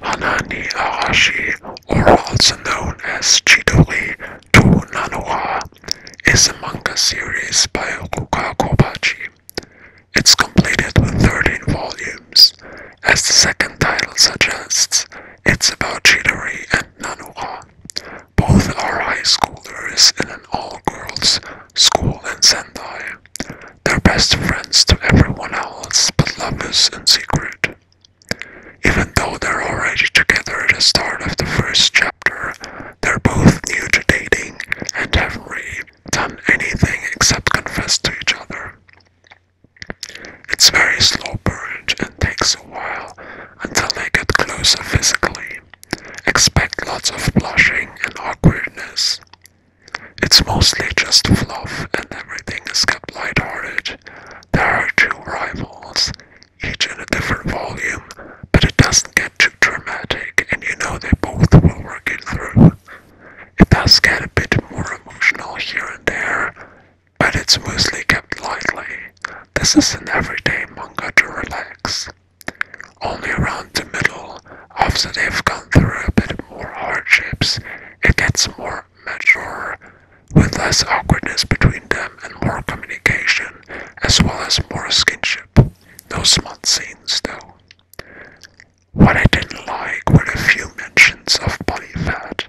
Hanani Arashi, or also known as Chidori to Nanoha, is a manga series by Ruka Kobachi. It's completed with 13 volumes. As the second title suggests, it's about Chidori and Nanoha. Both are high schoolers in an all-girls school in Sendai. They're best friends to everyone else, but love is in secret. Even though they're already together at the start of the first chapter, they're both new to dating and haven't really done anything except confess to each other. It's very slow burn and takes a while until they get closer physically. Expect lots of blushing and awkwardness. It's mostly just fluff and everything is kept lighthearted. There are two rivals, each in a different volume, but it doesn't get too dramatic and you know they both will work it through. It does get a bit more emotional here and there, but it's mostly kept lightly. This is an everyday manga to relax. Only around the middle, after they've gone through a bit more hardships, it gets more mature, with less awkwardness between them and more communication, as well as more skinship. Those smut scenes, though. What I didn't like were a few mentions of body fat.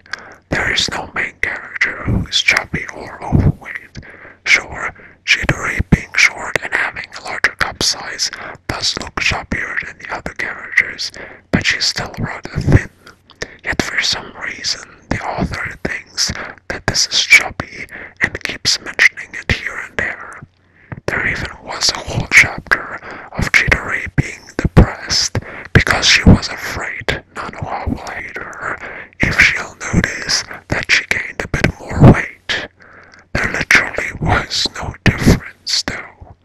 There is no main character who is chubby or overweight. Sure, Chidori being short and having a larger cup size does look shabbier than the other characters, but she's still rather thin. Yet for some reason, the author thinks that this is chubby and keeps mentioning it here and there. There even was a whole chapter of Chidori being depressed because she was afraid Nanoha will hate her if she'll notice that she gained a bit more weight. There literally was no difference, though.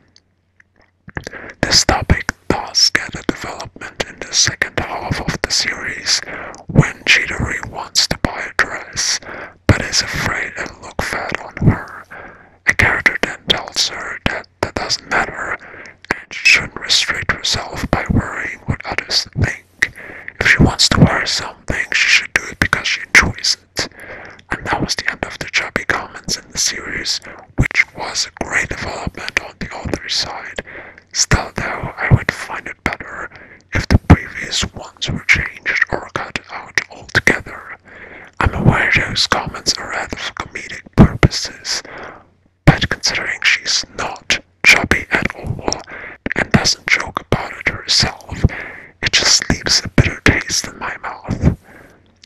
This topic does get a development in the second half of the series when Chidori wants to buy a dress but is afraid it'll look fat on her. A character then tells her that that doesn't matter and she shouldn't restrict herself by worrying what others think. If she wants to wear something, she should do it because she enjoys it. And that was the end of the chubby comments in the series, which was a great development on the author's side. Still though, I would find it better if the previous ones were changed or cut out altogether. I'm aware those comments are rather for comedic purposes, but considering she's not chubby at all, and doesn't joke about it herself. It just leaves a bitter taste in my mouth.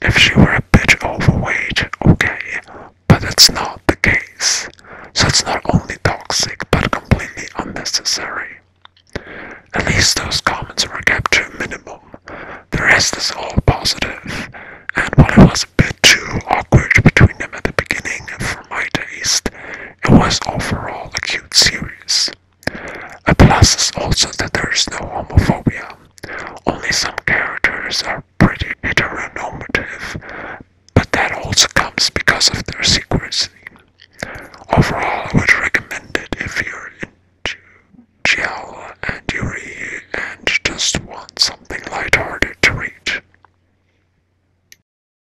If she were a bit overweight, okay, but that's not the case. So it's not only toxic, but completely unnecessary. At least those comments were kept to a minimum. The rest is all positive, positive. and while it was a bit too awkward between them at the beginning for my taste, it was overall a cute series. A plus is also that there is no homophobia. Only some characters are pretty heteronormative, but that also comes because of their secrecy. Overall, I would recommend it if you're into Gel and Yuri and just want something lighthearted to read.